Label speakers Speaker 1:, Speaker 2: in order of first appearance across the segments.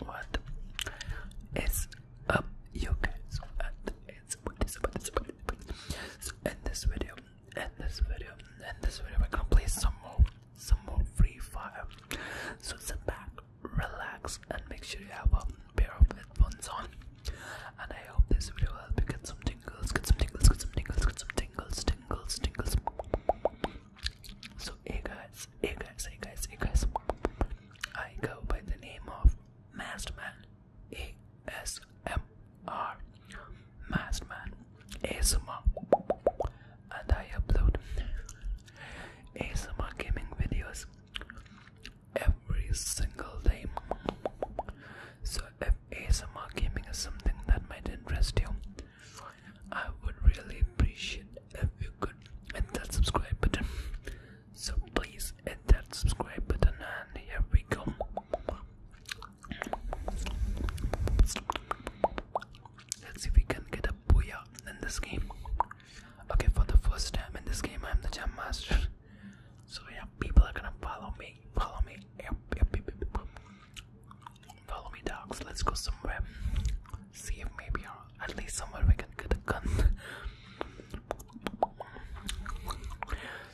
Speaker 1: What is up, you guys? And it's so in this video, in this video, in this video, we're gonna play some more, some more Free Fire. So sit back, relax, and make sure you have a pair of headphones on. And I hope this video will help you get some tingles, get some tingles, get some tingles, get some tingles, tingles, tingles. So hey guys, hey guys, hey guys, hey guys. I go by the name of Masterman ASMR Masterman ASMR and I upload ASMR gaming videos every single day. So if ASMR gaming is something that might interest you, I would really appreciate if you could hit that subscribe button. So please hit that subscribe button, and here we go. Let's see if we can get a booyah in this game. Okay, for the first time in this game, I'm the jump master. So yeah, people are gonna follow me. Follow me. Follow me, dogs. Let's go somewhere see if maybe at least somewhere we can get a gun.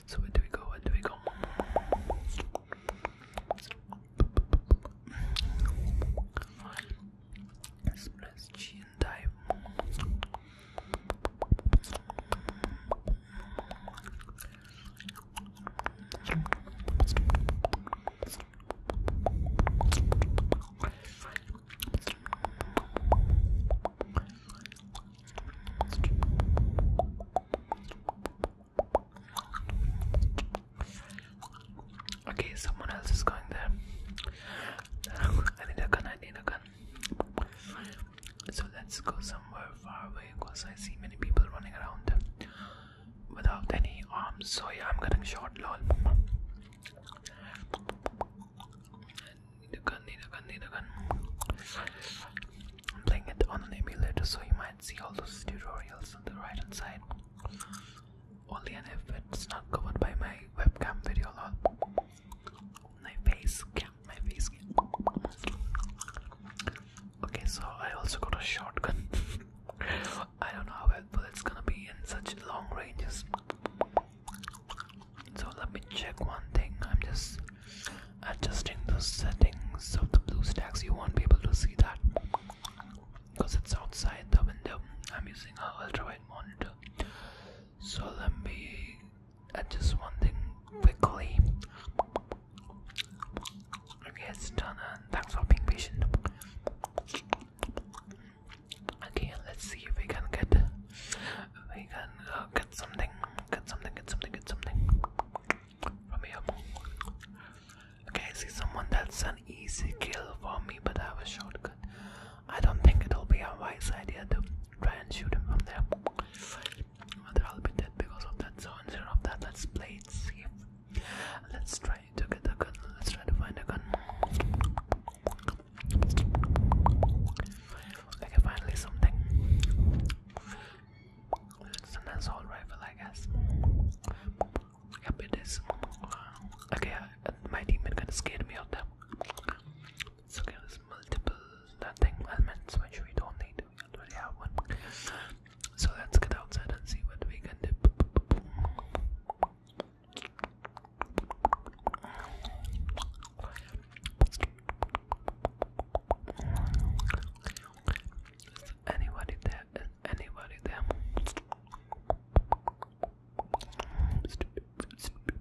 Speaker 1: so where do we go? Where do we go? Express chin dive. Okay, someone else is going there. I need a gun, I need a gun. So let's go somewhere far away because I see many people running around without any arms. So I'm getting short. lol. Nidogun, Nidogun, Nidogun. I'm playing it on an emulator, so you might see all those tutorials on the right hand side. Only and if it's not covered by my webcam video my face my face Okay, so I also got a shotgun. I don't know how but it's gonna be in such long ranges. So let me check one thing. I'm just adjusting the settings of the blue BlueStacks. You won't be able to see that because it's outside the window. I'm using a ultrawide monitor. So let me adjust one thing quickly. Okay, it's done. And thanks for being patient. Okay, let's see if we can get we can uh, get something, get something, get something, get something from here. Okay, see someone that's an easy kill for me, but I have a shotgun. I don't think it'll be a wise idea to try and shoot him from there. Whether I'll be dead because of that, so instead of that, let's play Let's try to get a gun. Let's try to find a gun. Okay, finally something. It's an assault rifle, I guess. Yep, it is. Okay, I, uh, my teammate kinda scared me out there. So there's multiple that thing elements which we don't need. We already have one. So let's get outside and see what we can do. Is anybody there? Is anybody there? Stupid, stupid.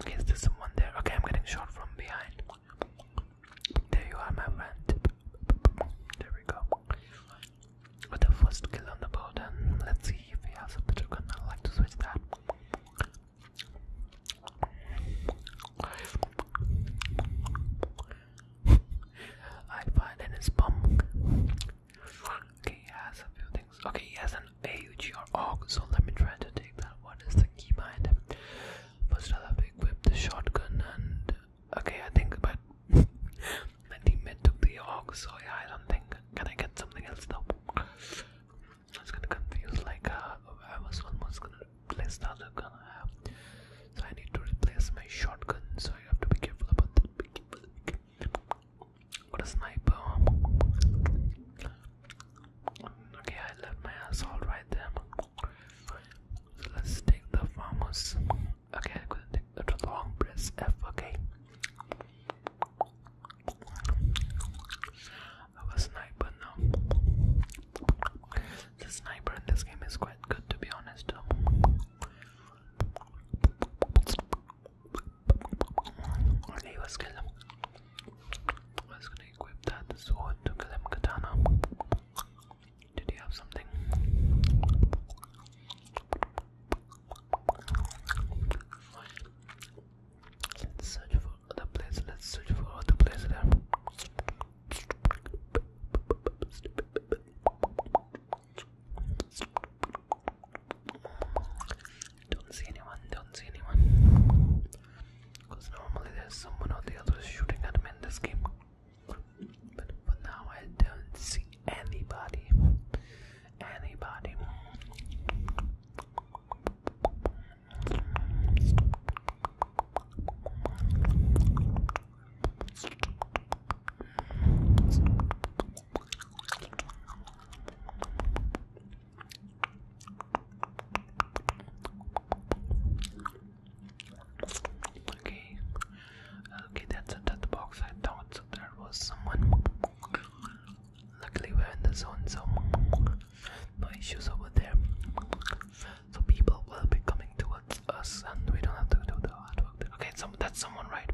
Speaker 1: Okay, is there someone there? Okay, I'm getting shot from behind. There you are, my friend. There we go. With the first kill on the board, and let's see if he has a better gun. I like to switch that. I find in his bum. Okay, he has a few things. Okay, he has an or AUG, oh, so let me try to take that. What is the key behind First, have to the shotgun and. Okay, I think, but. my teammate took the AUG, so I don't think. Can I get something else though? I gonna confuse, like, uh, I was gonna place the so I need to replace my shotgun, so I have to be careful about that. Be careful, be careful. sniper! Okay, I left my assault right there. So let's take the farmers. Okay, I'm gonna take the long press F. Okay. I was sniper now. The sniper in this game is quite good to be honest. Only was kill him. I was gonna equip that sword to kill him katana. Did he have something? Let's search for other place. Let's search for other place there. Don't see anyone, don't see anyone. Because normally there's someone or the other shooting at me in this game. But now, I don't see anybody. Anybody. Okay, okay, that's a the box. I thought so there was someone. Luckily, we're in the zone, so no issues over there so people will be coming towards us and we don't have to do the hard work okay that's someone right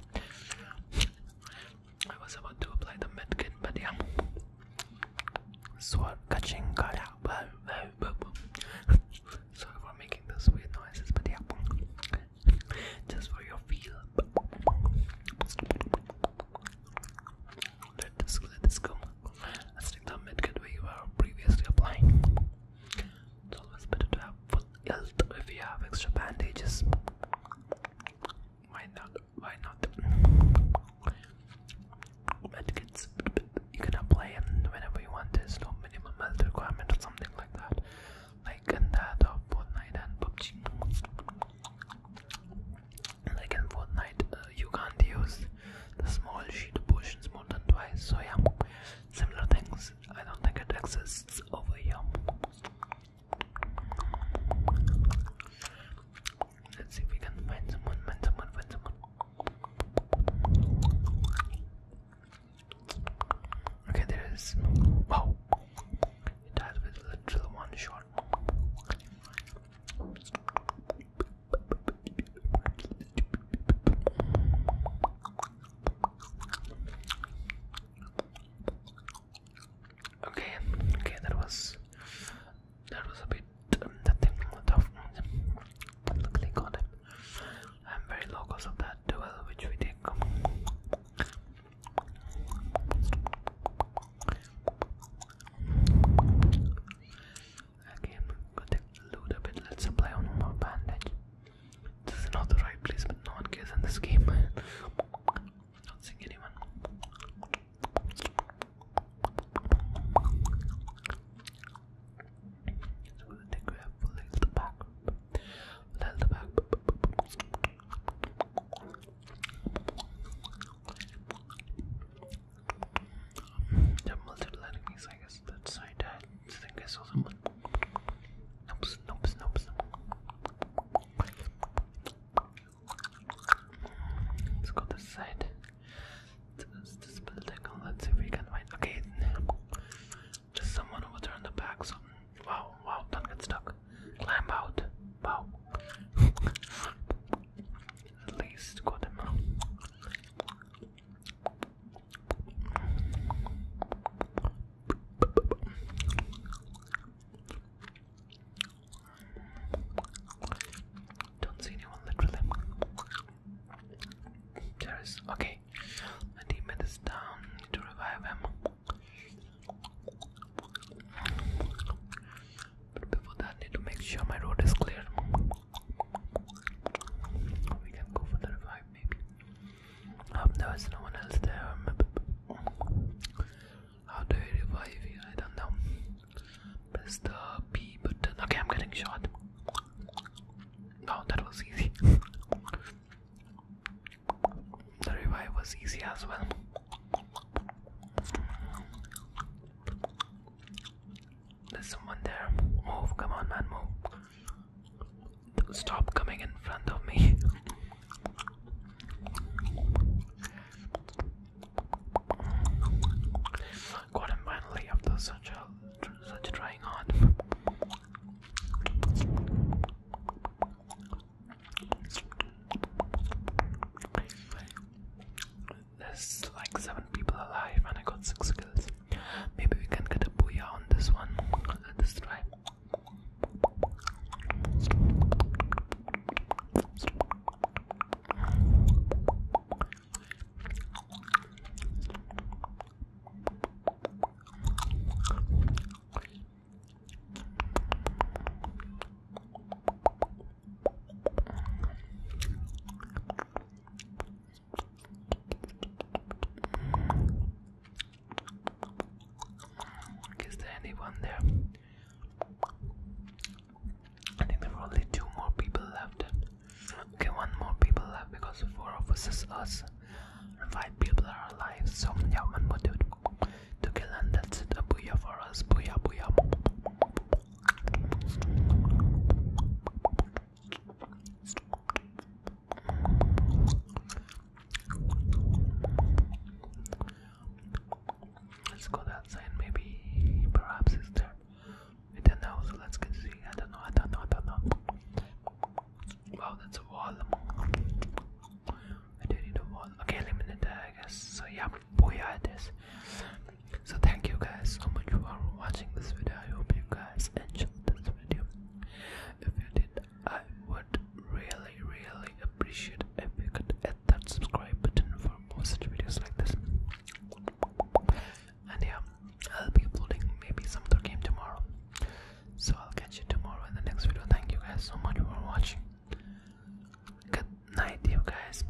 Speaker 1: I was about to apply the medkit but yeah sorry for making those weird noises but yeah just for your feel let this, let this go. Let's take the medkit we were previously applying. It's always better to have full health if you have extra bandages. Why not? Why not? Medkits you can apply whenever you want. There's no minimum health requirement or something like that. Like in that of Fortnite and PUBG. Like in Fortnite, uh, you can't use the small sheet of more than twice. So yeah, similar things I don't think it exists over here. Let's see if we can find someone, find someone, find someone. Okay, there is. Wow! It has with literal one shot. Okay, okay, that was that was a bit um, that thing tough. But got it. I'm very low of that duel which we take. Okay, i to take a bit. Let's play on more bandage. This is not the right place, but no one cares in this game. not seeing anyone. So we'll take grab, we'll the back. we the back. They're multiple enemies, I guess. That's side had I think I saw someone. Nope, nope, nope. Let's go this side. This, building. Let's see if we can find. Okay, just someone over there the back. So, wow, wow, don't get stuck. Climb out. Wow. At least got him. Don't see anyone literally. There is okay. My teammate Need to revive him. But before that, I need to make sure my road is clear. We can go for the revive, maybe. I um, hope there no one else there. How do you revive I don't know. Press the B button. Okay, I'm getting shot. No, that was easy. the revive was easy as well. There's someone there. Move, come on, man, move. Stop coming in front of me. Got finally after such a such trying on. There's like seven people alive, and I got six kills. Maybe we can get a booyah on this one. Let us try. Is there anyone there? I think there are only two more people left. Okay, one more people left because four of us And five people are alive. So yeah, one more dude to kill and that's it. A booyah for us. Booyah booyah. Let's go that maybe perhaps it's there. I don't know, so let's get see. I don't know, I don't know, I don't know. Wow, that's a wall. I do need a wall. Okay, eliminate that, I guess. So, yeah, booyah it is. So, thank you guys so much for watching this video. I hope you guys enjoyed this video. If you did, I would really, really appreciate if you could hit that subscribe button for more such videos like this. And yeah, I'll be uploading maybe some other game tomorrow. So I'll catch you tomorrow in the next video. Thank you guys so much for watching. Good night, you guys.